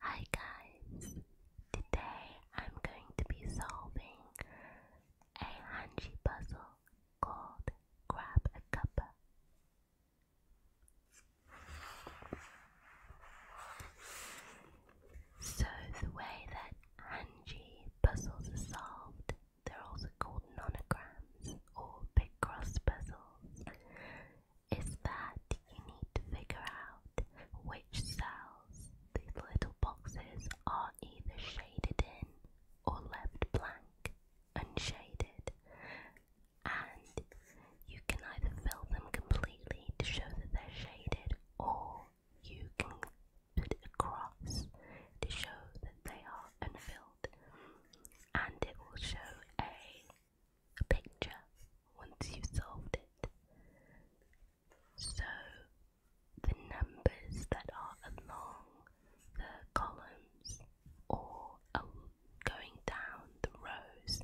Hi guys, today I'm going to be solving a hanji puzzle called Grab a Cup. So the way that hanji puzzles are solved, they're also called nonograms or big cross puzzles is that you need to figure out which cells these little boxes are either shaded in or left blank, unshaded, and you can either fill them completely to show that they're shaded or you can put a cross to show that they are unfilled and it will show a a picture once you've it. So the numbers that are along the columns or going down the rows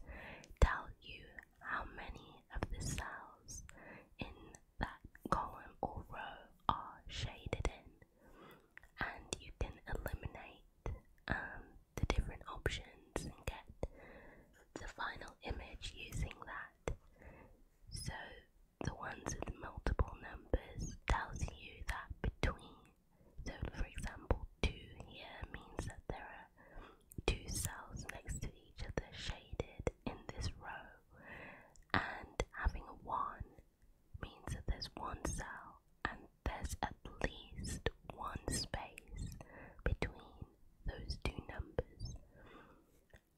tell you how many of the cells in that column or row are shaded in, and you can eliminate um, the different options and get the final image using that. So the ones with multiple numbers tells you that between, so for example, two here means that there are two cells next to each other shaded in this row, and having a one means that there's one cell and there's at least one space between those two numbers.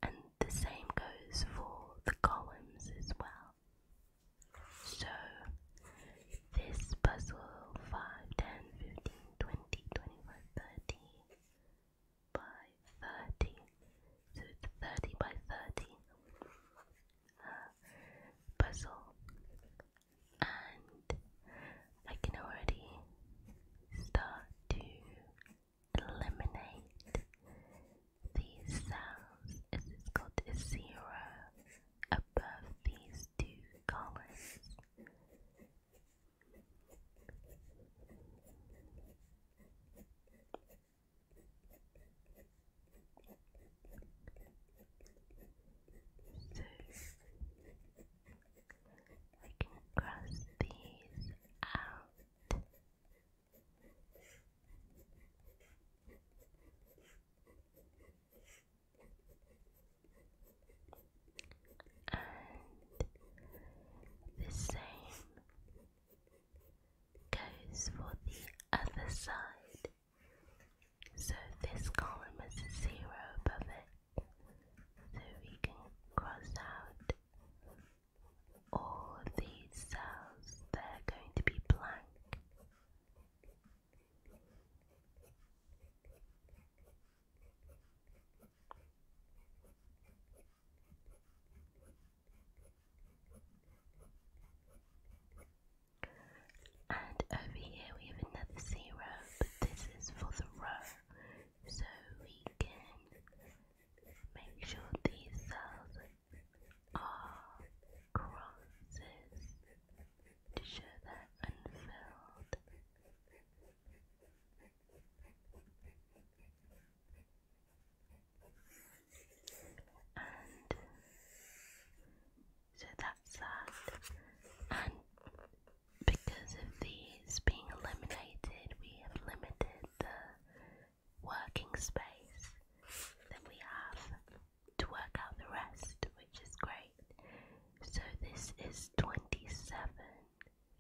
And the same goes for the columns as well. So, this puzzle 5, 10, 15, 20, 25, 30 by 30. So it's 30 by 30. Uh, puzzle and I can already start to eliminate these sounds as it zero above these two columns. So we can cross these out. And the same goes for the other side. So this column is zero above it, so we can cross out all these cells that are going to be blank. And over here we have another zero, this is for the row. So we can make sure these cells are crosses to show they're unfilled. And so that's that. And because of these being eliminated, we have limited the working space that we have to work out the rest, which is great. So this is 27,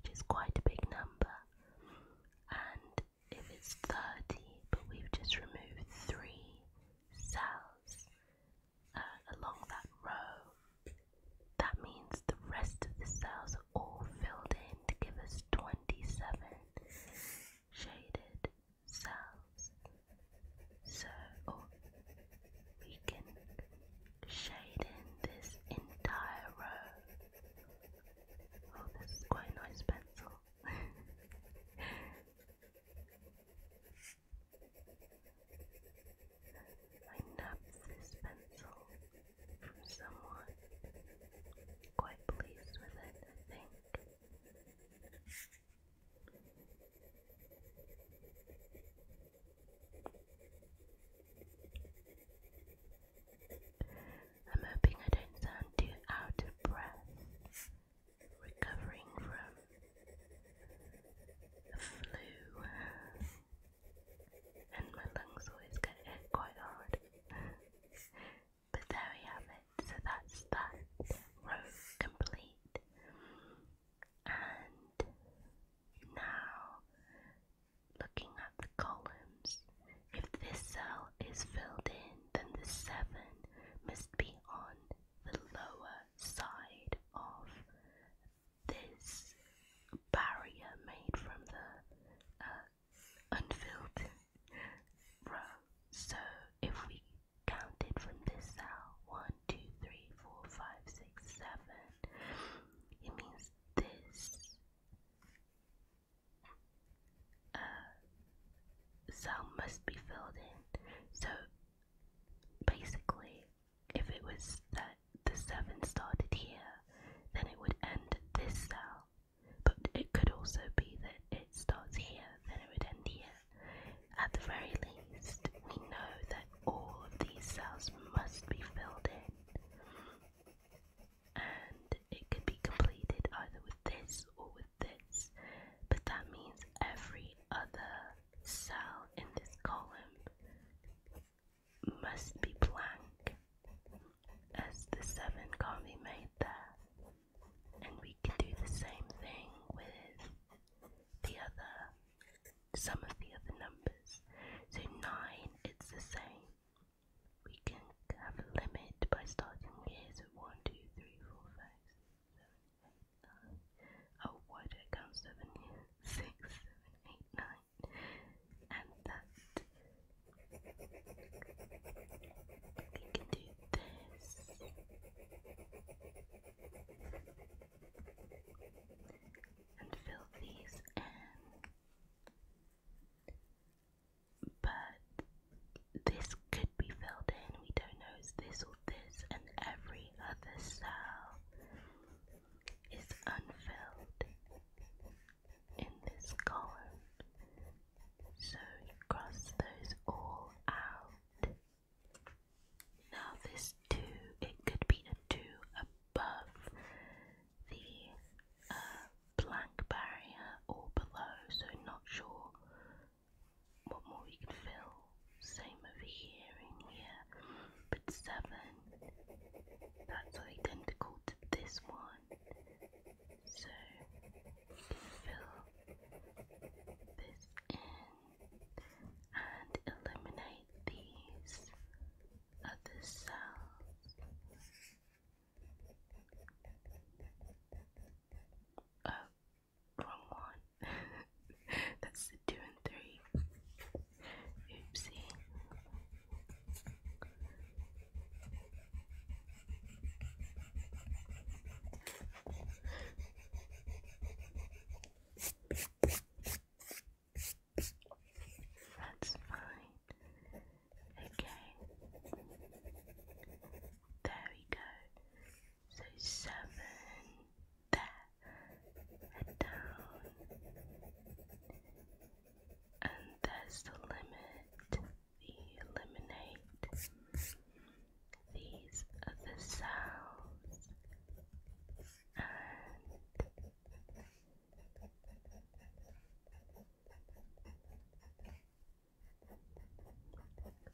which is quite a big number. And if it's 30, but we've just removed three cells, uh, along that row. That means the rest of the cells are all filled in to give us 27 shaded cells. So oh, we can shade in this entire row. Oh, this is quite a nice pencil. I nabbed this pencil from someone. Quite pleased with it, I think. I'm hoping I don't sound too out of breath. Recovering from flu and my lungs always get hit quite hard. but there we have it. So that's that row complete. And now looking at the columns, if this cell is filled in, then the 7 must be on the lower side of this barrier made from the uh, unfilled row. So if we counted from this cell, 1, 2, 3, 4, 5, 6, 7, it means this uh, cell must be filled in. So basically, if it was that the 7 started here, then it would end at this cell. But it could also be that it starts here, then it would end here. At the very least, we know that all of these cells must be filled in. And it could be completed either with this or with this. But that means every other cell in this column must be blank as the 7 can't be made there. And we can do the same thing with the other, some of the other numbers. So 9, it's the same. We can have a limit by starting here, so one, two, three, four, five. Oh, why did I count seven Six, seven, eight, nine. And that. We can do this. And fill these in. But this could be filled in. We don't know is this or this and every other cell is unfilled in this column. So you cross those all out. Now this 2, it could be a 2 above the uh, blank barrier or below, so not sure one more we can fill. Same over here and here. But seven, that's identical to this one. So we fill this in and eliminate these other cells. Oh, Wrong one. That's the two and three. Oopsie. That's fine. Okay. There we go. So seven there and down. And there's the We eliminate. These are the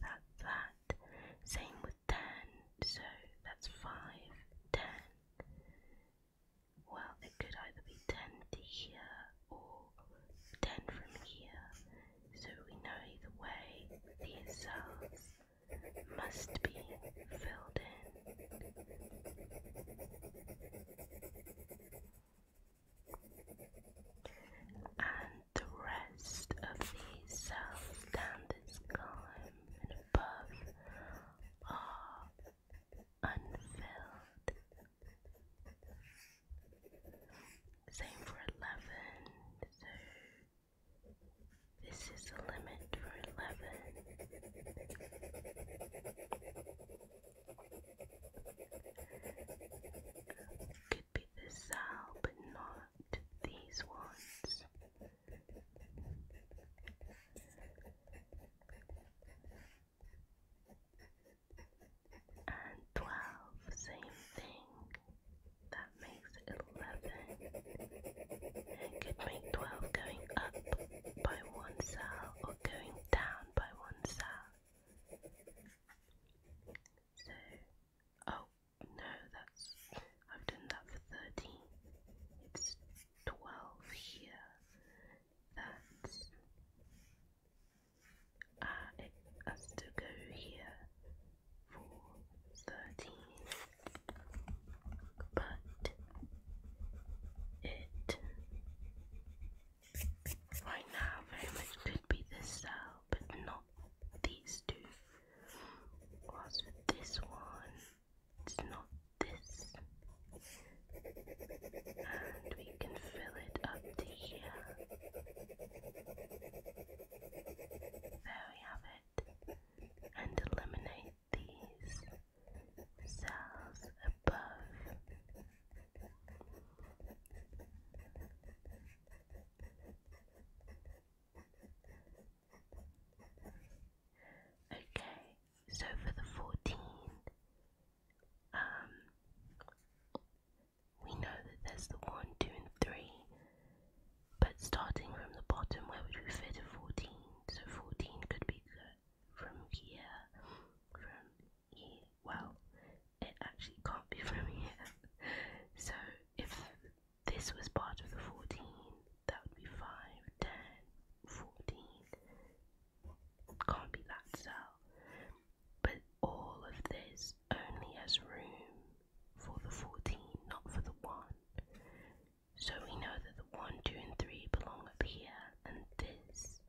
that's that. Same with ten so that's 5, 10. Well, it could either be 10 to here or 10 from here, so we know either way these cells must be filled in. And the rest of these cells down this guy and above are unfilled. Same for 11, so this is the limit for 11. Could be the sow, but not loved these ones. And 12, same thing. That makes 11. it could make 12 going up by one cell or going down by one cell. So, oh, no, that's. I've done that for 13. It's 12 here. That's. Uh, has to go here for 13. But. It. Right now, very much could be this cell, but not these two was this one. It's not this. And we can fill it up to here. There we have it. And eliminate these cells above. Okay, so for the 14, um, we know that there's the 1, 2, and 3, but starting from the bottom, where would we fit a 14? So 14 could be from here, from here, well, it actually can't be from here. So if this was part of the 14. That would be 5, 10, 14. Can't be that cell. But all of this only has room for the 14, not for the 1. So we know that the 1, 2, and 3 belong up here, and this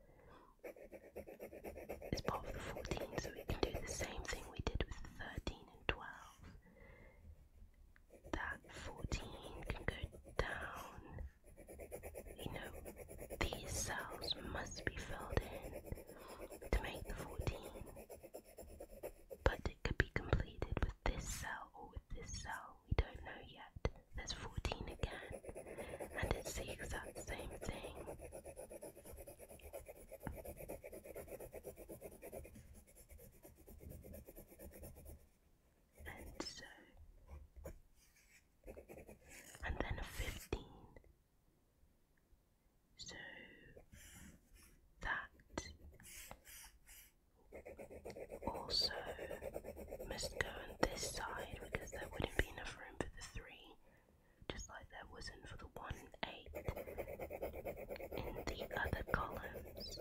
is part of the 14. So we can do the same thing we did with the 13 and 12 that 14 can go down. You know, these cells must be filled in to make the 14. But it could be completed with this cell or with this cell, we don't know yet. That's 14 again, and it's the exact same thing and so and then 15 so that also must go on this side because there wouldn't be enough room for the 3 just like there wasn't for the 1 8 in the other columns.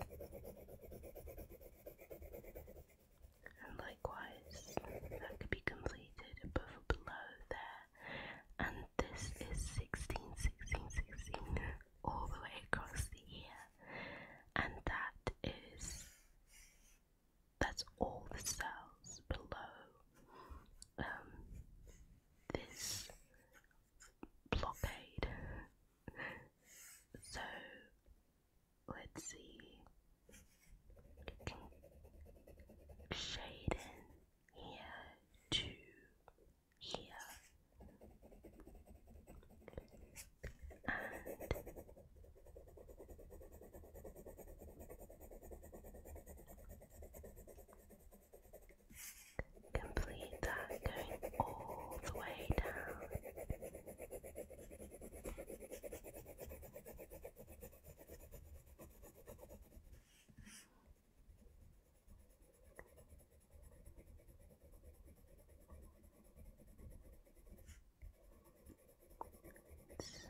And likewise, that could be completed above below there. And this is 16, 16, 16 all the way across the ear. And that is, that's all the cells below um, this blockade. so let's see. Shade in here to here. And Complete that going all the way down. So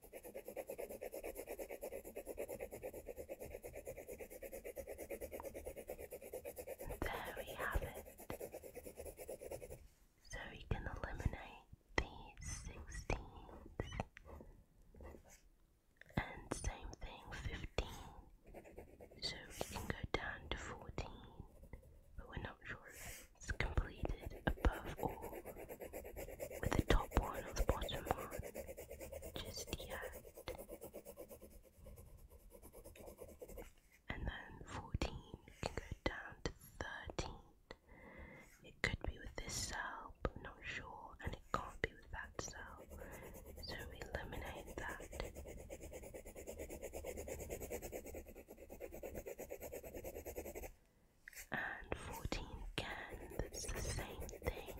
There we have it. So we can eliminate these sixteens. And same thing, 15. So we can go down to 14. But we're not sure if it's completed above all with the top one or the bottom one just yet. And then 14 can go down to 13. It could be with this cell, but not sure, and it can't be with that cell. So eliminate that and 14 again. that's the same thing.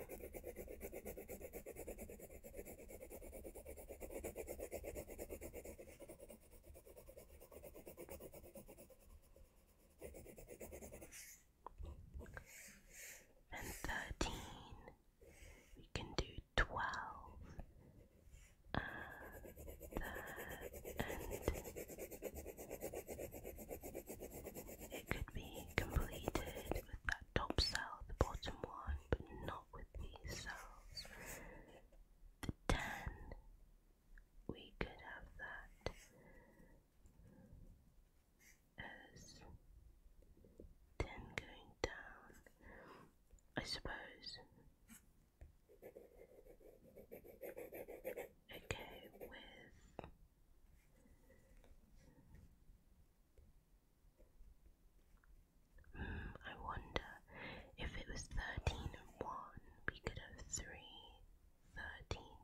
And 13, we can do 12 uh, it could be completed with that top cell, the bottom one, but not with these cells. 10, we could have that as 10 going down, I suppose. Okay, with Hmm, I wonder if it was 13 and 1, we could have 3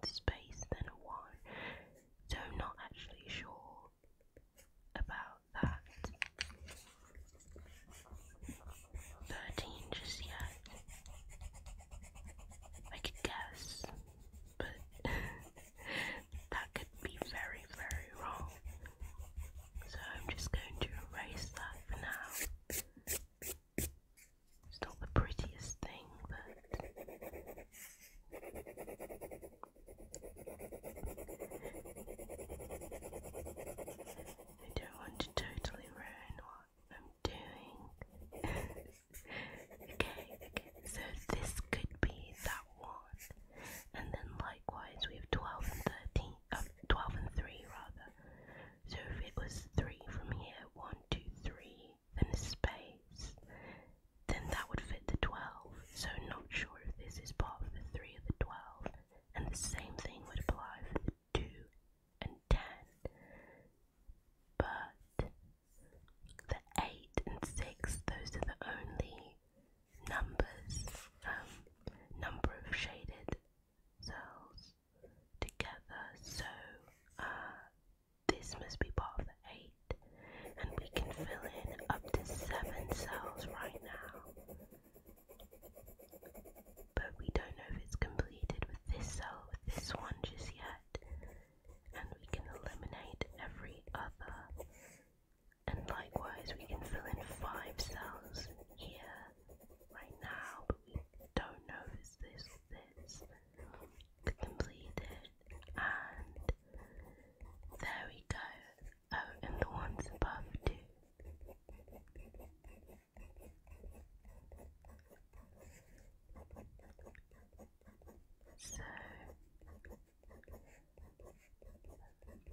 space then a 1. So not actually sure about that. 13 just yet. I could guess, but that could be very, very wrong. So I'm just going to erase that for now. It's not the prettiest thing, but I don't want to totally ruin what doing. okay, so this could be that one. And then likewise, we have 12 and 13, uh, 12 and 3 rather. So if it was 3 from here, one, two, three, then a space, then that would fit the 12. So not sure if this is part of the 3 or the 12. And the same thing would apply for the 2 and 10. But the 8 and 6, those are the only numbers, um, number of shaded cells together. So uh, this must be part of the 8, and we can fill in up to 7 cells right now. But we don't know if it's completed with this cell, with this one just yet. And we can eliminate every other. And likewise, we can fill in five cells here right now, but we don't know if this or this. and there we go. Oh, and the ones above too. So,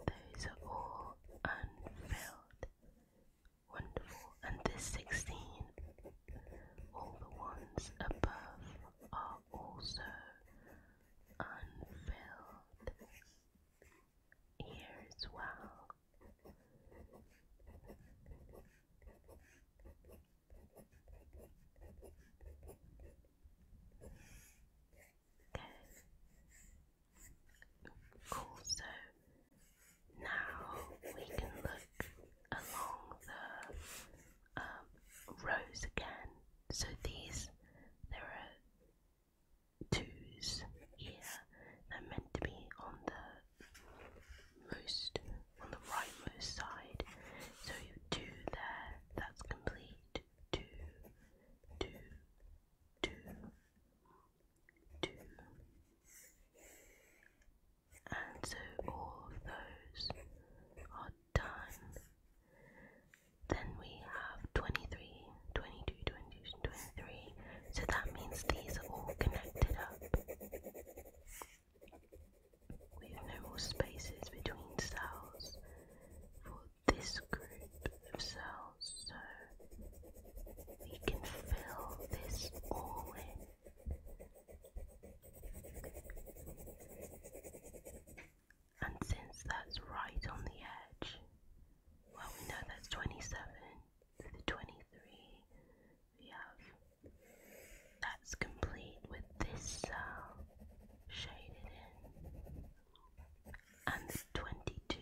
those are all unfilled. Wonderful. And this 16, all the ones above are also unfilled here as well. Okay. Cool, so now we can look along the um, rows again. So these, there are twos here, they're meant to be on the most on the rightmost side. So you have there, that's complete. Two, two, two, two. And so all those are done. Then we have 23, So that means these are all connected up. We have no more spaces between cells for this group of cells, so we can fill this all in. And since that's right on the edge, well, we know that's 27 to the 23 we have. That's complete with this cell uh, shaded in. And 22.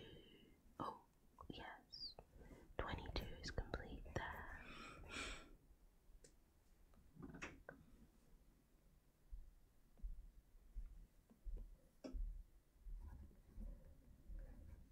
Oh, yes. 22 is complete there.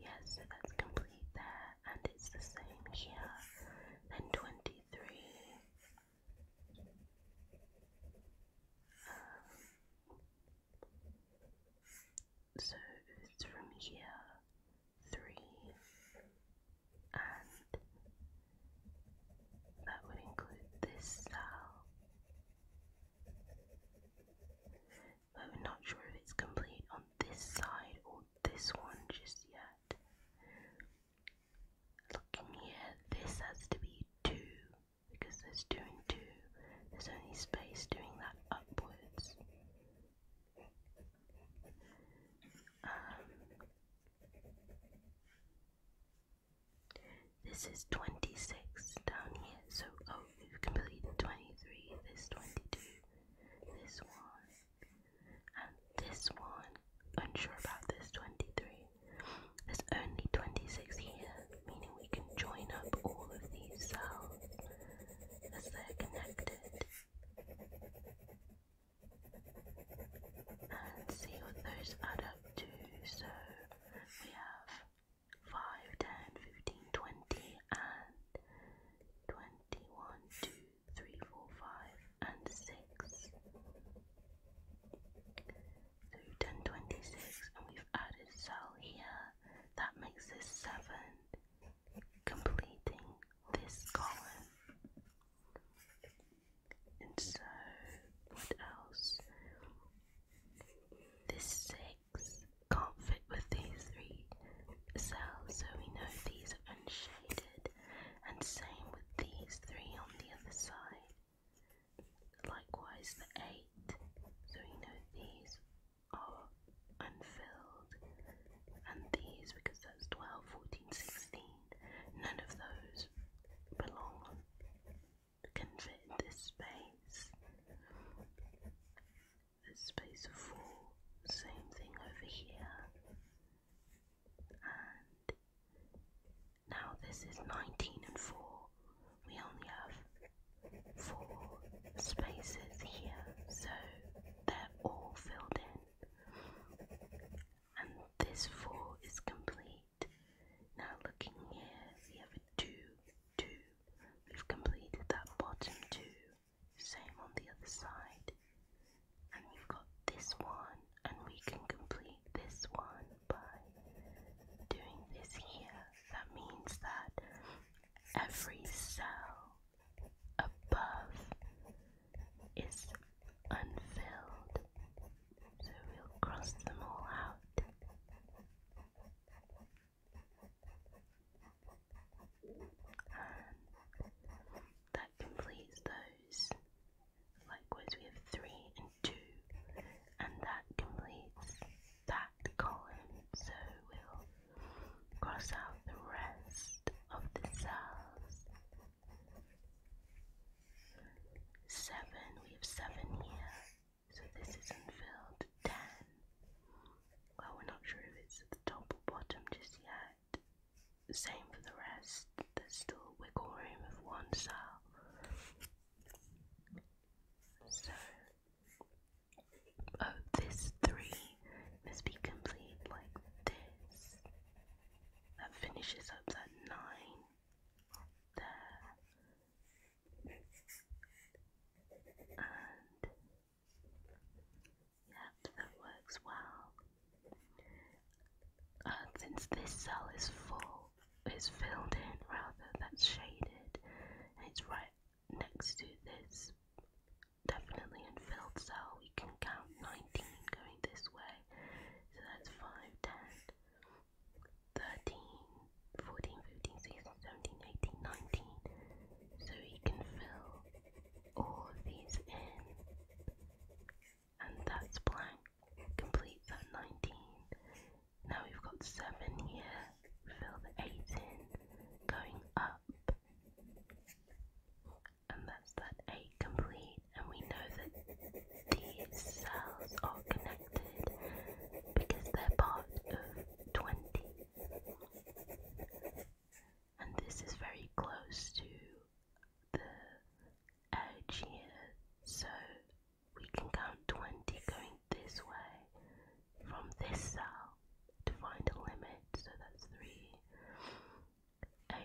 Yes, so that's complete there, and it's the same here. And 23. Um, so it's from here, 3, and that would include this cell I'm not sure if it's complete on this side or this one just yet. Looking here, this has to be 2 because there's 2 and 2. There's only space doing that upwards. Um, this is 26 down here, so oh, we've completed 23, this 22, this one, and this one. Unsure about this 23. There's only 26 here, meaning we can join up all of these cells as they're connected and see what those add up to. So we have 5, 10, 15, 20, and 21, 2, 3, 4, 5, and 6. So we've done 26 and we've added cell here. That makes this 7, completing this column. And so, what else? This 6 can't fit with these three cells, so we know these are unshaded, and same with these three on the other side. Likewise, the 8, so we know these are unfilled, and these, because that's 12, none of those belong can this space. This space four, same thing over here. And now this is 19 and 4. We only have four spaces here, so they're all filled in. And this 4 is complete now looking here, we have a two, two. We've completed that bottom two. Same on the other side. And we've got this one, and we can complete this one by doing this here. That means that every cell above is unfilled. So we'll cross them all out that completes those. Likewise, we have 3 and 2, and that completes that column. So we'll cross out the rest of the cells. 7, we have 7 here. So this isn't filled 10. Well, we're not sure if it's the top or bottom just yet. Same for the rest. There's still wiggle room of one cell. So, oh, this three must be complete like this. That finishes up that nine there and that works well. Uh, since this cell is full, is filled in rather, that's shaded, and it's right next to this definitely unfilled cell, we can count 19 going this way, so that's 5, 10, 13, So we can fill all of these in. And that's blank. Complete that 19. Now we've got 7 here. Fill the 8 in. Going up. And that's that 8 complete. And we know that these cells are connected because they're part of 20. And this is very close to the edge here, so we can count 20 going this way from this cell to find a limit, so that's 3, 8,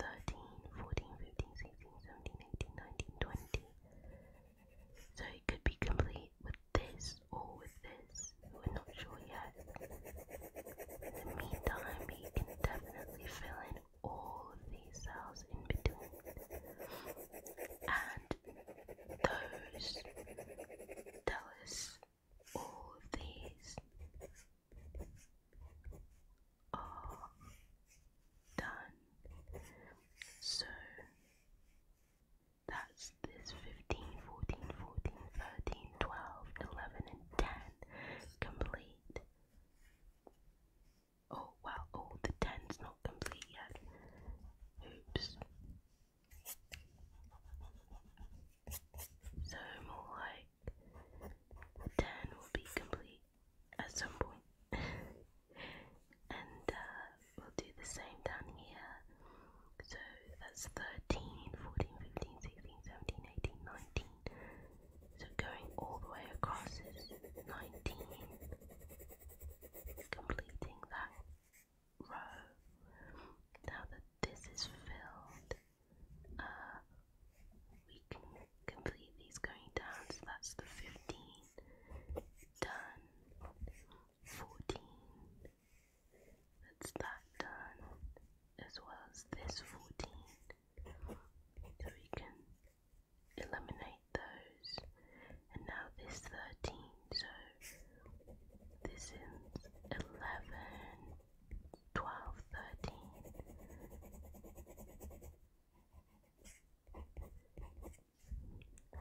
13, 14, 15, 16, 17, 18, 19, 20. So it could be complete with this or with this. We're not sure yet. In the meantime, we can definitely fill in all of these cells in between. And those tell all these are done. So that's this 15, 14, 14, 13, 12, 11, and 10 complete. Oh wow, oh the 10's not complete yet. Oops. So more like 10 will be complete at some and uh, we'll do the same down here. So that's 13, So going all the way across is 19. Completing that row. Now that this is filled, uh, we can complete these going down. So that's the 15 done. Fourteen. That's that done. As well as this fourteen. So we can eliminate those. And now this thirteen. So this is eleven.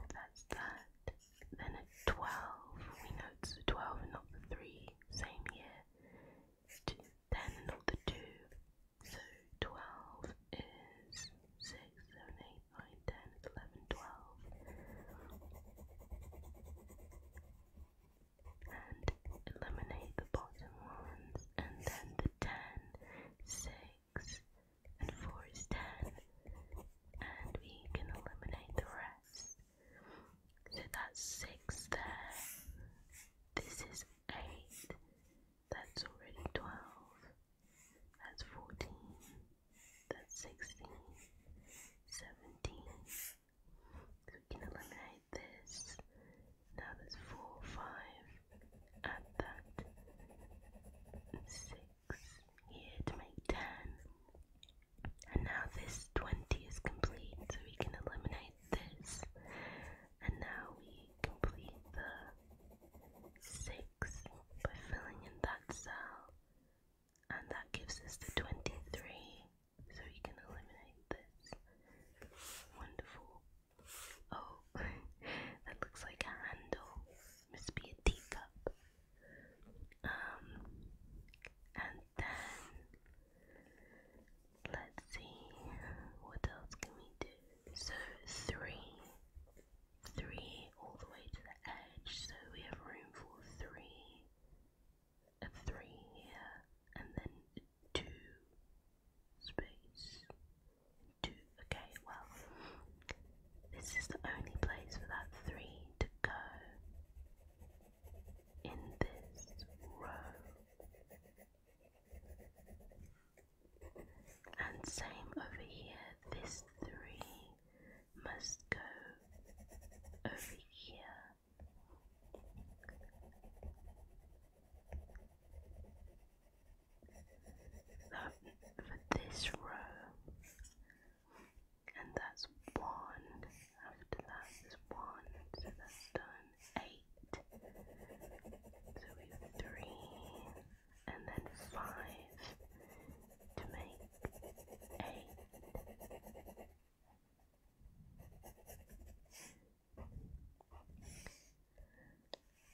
That's that. Then at 12, we know it's the 12 and not the 3, same year. 10 not the 2. So 12 is 6, 11, 12. And eliminate the bottom ones, and then the 10, 6, and four is ten and we can eliminate the rest so that's six there this is eight that's already twelve that's fourteen that's sixteen. Seventeen. we can eliminate this now there's four five add that six here to make ten. And now this 20 is complete, so we can eliminate this. And now we complete the 6 by filling in that cell. And that gives us the 23, so we can eliminate this. Wonderful. Oh, that looks like a handle. Must be a teacup. Um, and then let's see what else can we do. So three, three all the way to the edge. So we have room for three, a three here, and then two space. Two. Okay, well, this is the only place for that three to go in this row. And same over here, this three must go over here that for this row and that's one after that is one that's done eight so we three and then five to make eight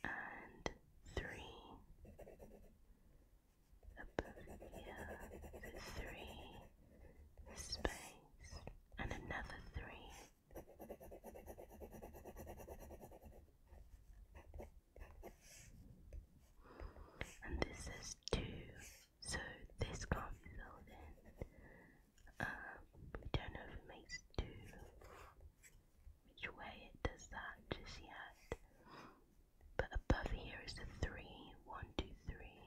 and three above here, three, space, and another three. And this is two, so this can't be filled in. Um, we don't know if it makes two which way it does that just yet. But above here is the three, one, two, three.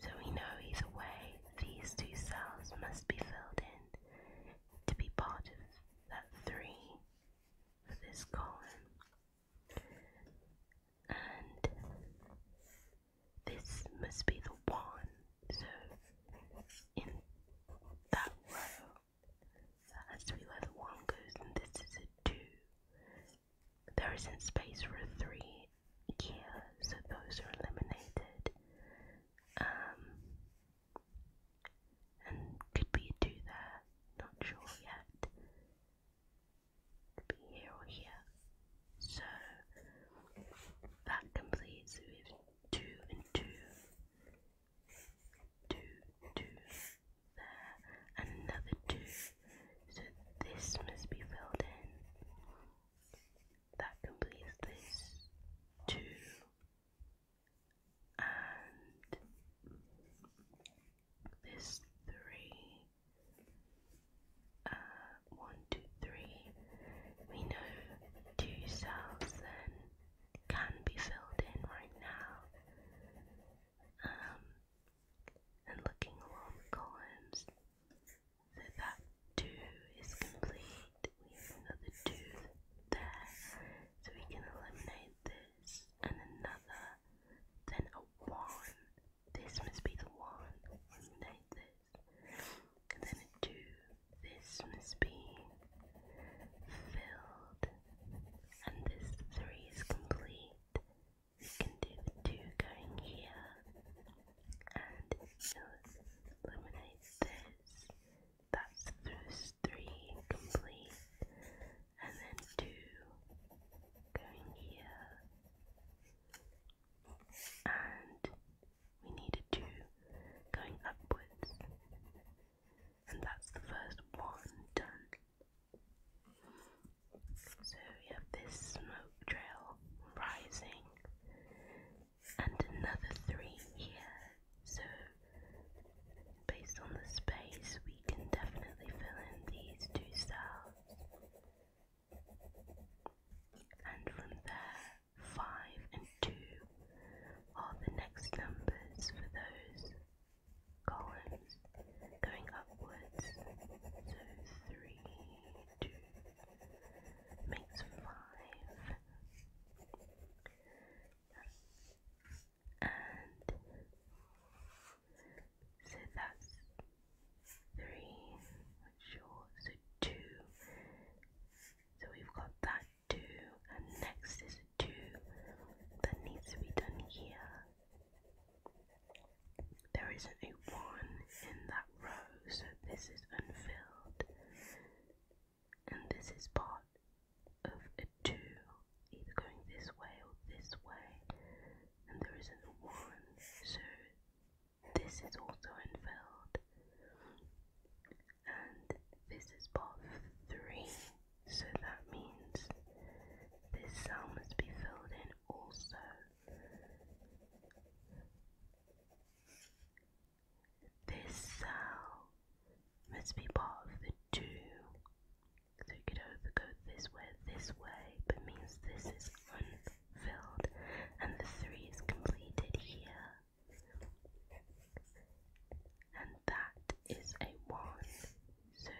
So we know either way These two cells must be filled in to be part of that three for this column. And this must be the one. So in that row that has to 1 goes, and this is a 2. There isn't space for a 3 here, so those are eliminated. Um, and could be a 2 there, not sure yet. Could be here or here. So that completes with 2 and 2 two, two there, another two. So this must be filled in. That completes this two and this three. Uh, one, two, three. We know two cells then can be filled in right now. Um, and looking along the columns, so that 2 is complete. We have another 2 there, so we can eliminate this and another, then a 1. This must be the 1, eliminate this, then a 2, this must be filled, and this three is complete. We can do two going here, and eliminate this. That's through three complete, and then two going here, and we need a two going upwards and that's the first one done. So we have this smoke trail rising and another three here. So based on the space we can definitely fill in these two cells. And from there 5, and 2 are the next numbers for those columns going upwards. So 3, 2 makes 5. And so that's three, sure, so two. So we've got that 2 and next is 2 that needs to be done here. There isn't a 1 in that row, so this is unfilled. And this is part of a 2, either going this way or this way. And there isn't a 1, so this is also unfilled and this is part three, so that means this cell must be filled in also. This cell must be part of the two. So you could either go this way, this way, but means this is unfilled, and the three is completed here. And that is a 1. So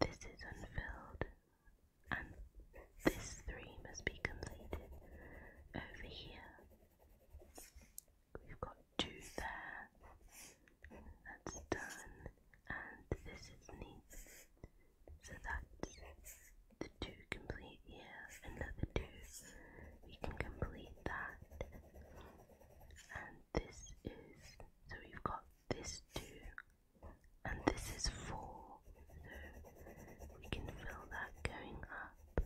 this is unfilled. And this 3 must be completed over here. We've got 2 there. That's done. And this is neat. So that's the 2 complete. Yes, ears and We can complete that. And this is, so we've got this two, and this is four. So we can fill that going up.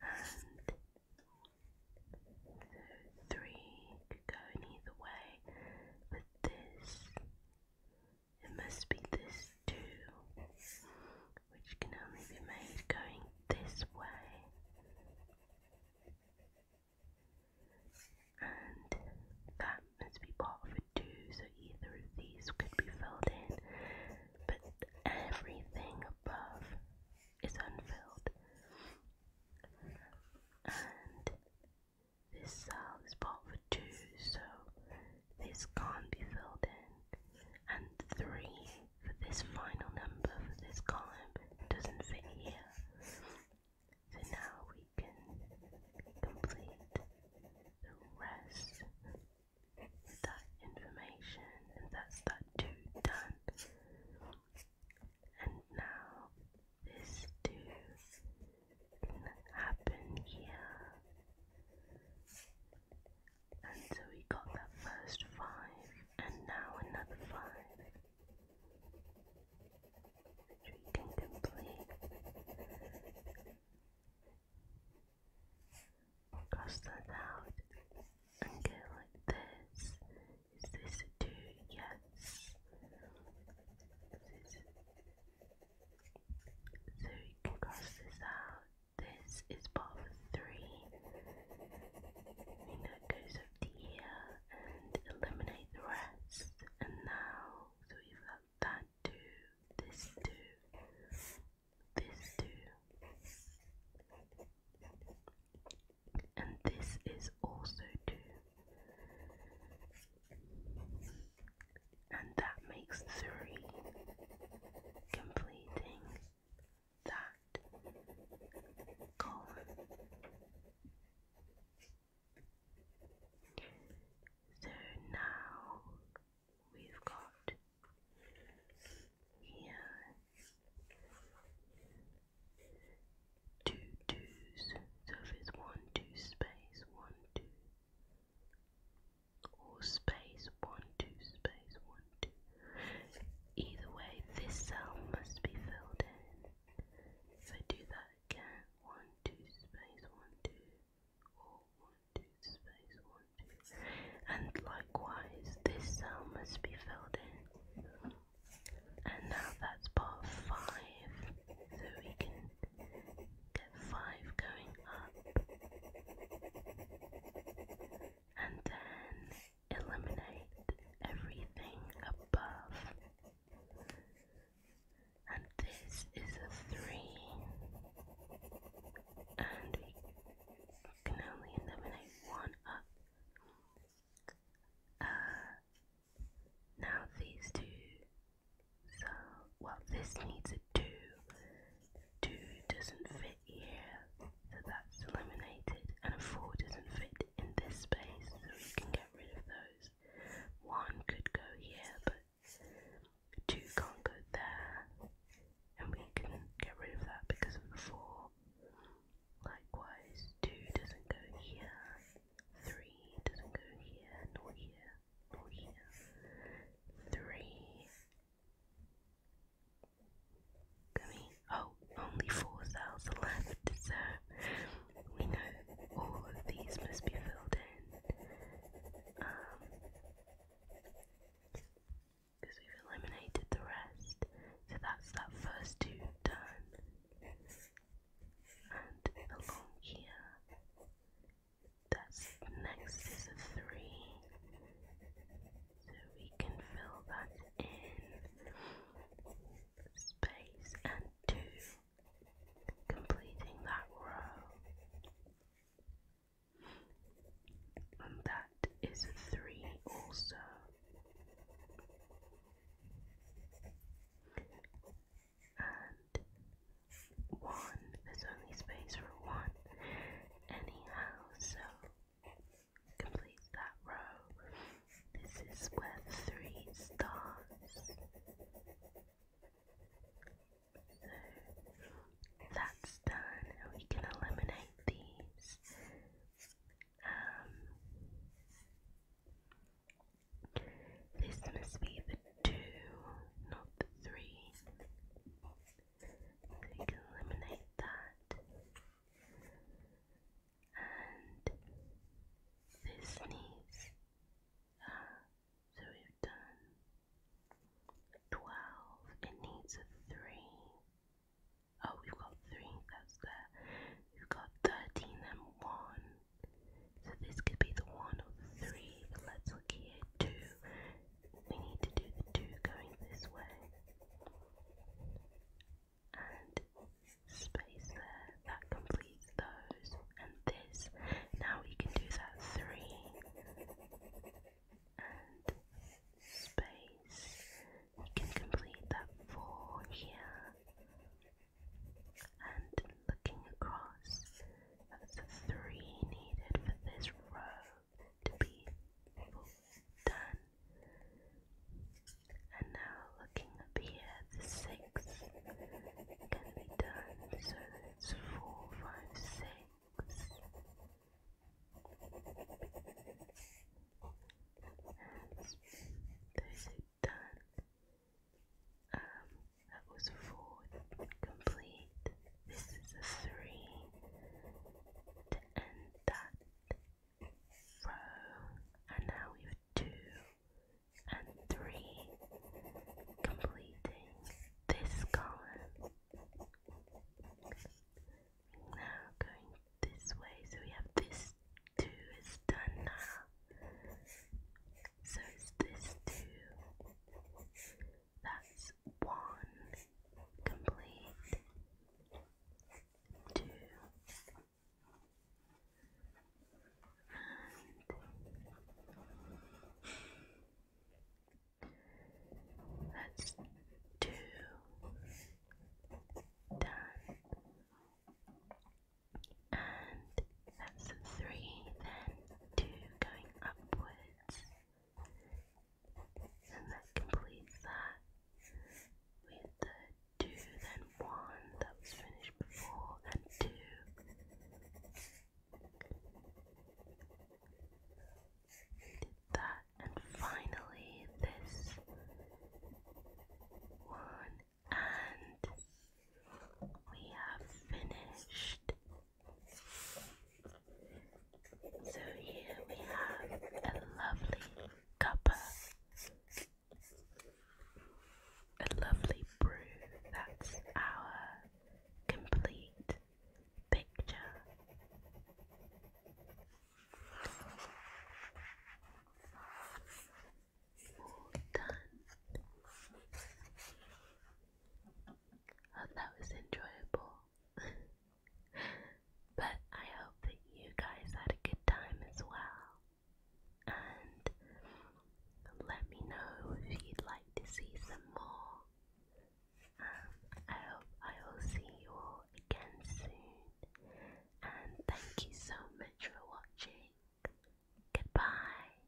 And so three could go in either way, but this it must be this too, which can only be made going this way. And that must be part of a two, so either of these could be filled in, but everything above is unfilled. And this cell is part of a two, so this can't be filled in, and 3 for this final number for this column doesn't fit here. So now we can complete the rest of that information, and that's that 2 done. And now this 2 can happen here. And so we got that first five, and now another five. Which we can complete. Cross that out and go like this. Is this a two? Yes. So we can cross this out. This is part of three. We know it goes up to and eliminate the rest. And now, so we've got that two, this two, this two. And this is also two and that makes three, completing that column. So now we've got here two twos, so if it's one two space, one two or space 1, 2, space 1, 2. Either way, this cell must be filled in. So do that again 1, 2, space 1, 2, or 1, 2, space 1, 2. And likewise, this cell must be filled in. And now that's part 5, so we can 5 going up and then eliminate everything above and this is a 3 and we can only eliminate one up uh, now these two so, what this needs to do, do doesn't fit here, so that's eliminated, and a 4 doesn't fit in this space, so we can get rid of those. 1 could go here, but 2 can't go there, and we can get rid of that because of the 4. Likewise, 2 doesn't go here, 3 doesn't go here, nor here three. Gummy. Oh, only four left, so we know all of these must be filled in. Um, because we've eliminated the rest, so that's that first two done. And along here, that's next is a three. So we can fill that in space and two, completing that row. And that is a three also and one. There's only space for one anyhow, so complete that row. This is where three starts. So that's done, and we can eliminate these. Um, this must be the two, not the three. So can eliminate that. And this needs, uh, so we've done 12, it needs a 3. Oh, we've got 3, that's there. We've got 13 and 1. So this could be the one or the three, but let's look here, two. We need to do the two going this way. And space there, that completes those. And this, now we can do that three. And space, we can complete that four here. And looking across, that's the three needed for this row to be done. And now looking up here, the six can be done, so that's four, five, six. And those done. Um, that was four. Complete. This is a three. To end that row. And now we have two and three. Completing this column. Now going this way, so we have this two is done now. So it's this two. That's one complete. Two. And that's two done. And that's three, then two going upwards. And that completes that with the two, then one that was finished before, then two. Did that, and finally this one, and we have finished so here we have a lovely cuppa, a lovely brew. That's our complete picture. All done hope that was enjoyable. but I hope that you guys had a good time as well. And let me know if you'd like to see some more. Um, I hope I will see you all again soon. And thank you so much for watching. Goodbye.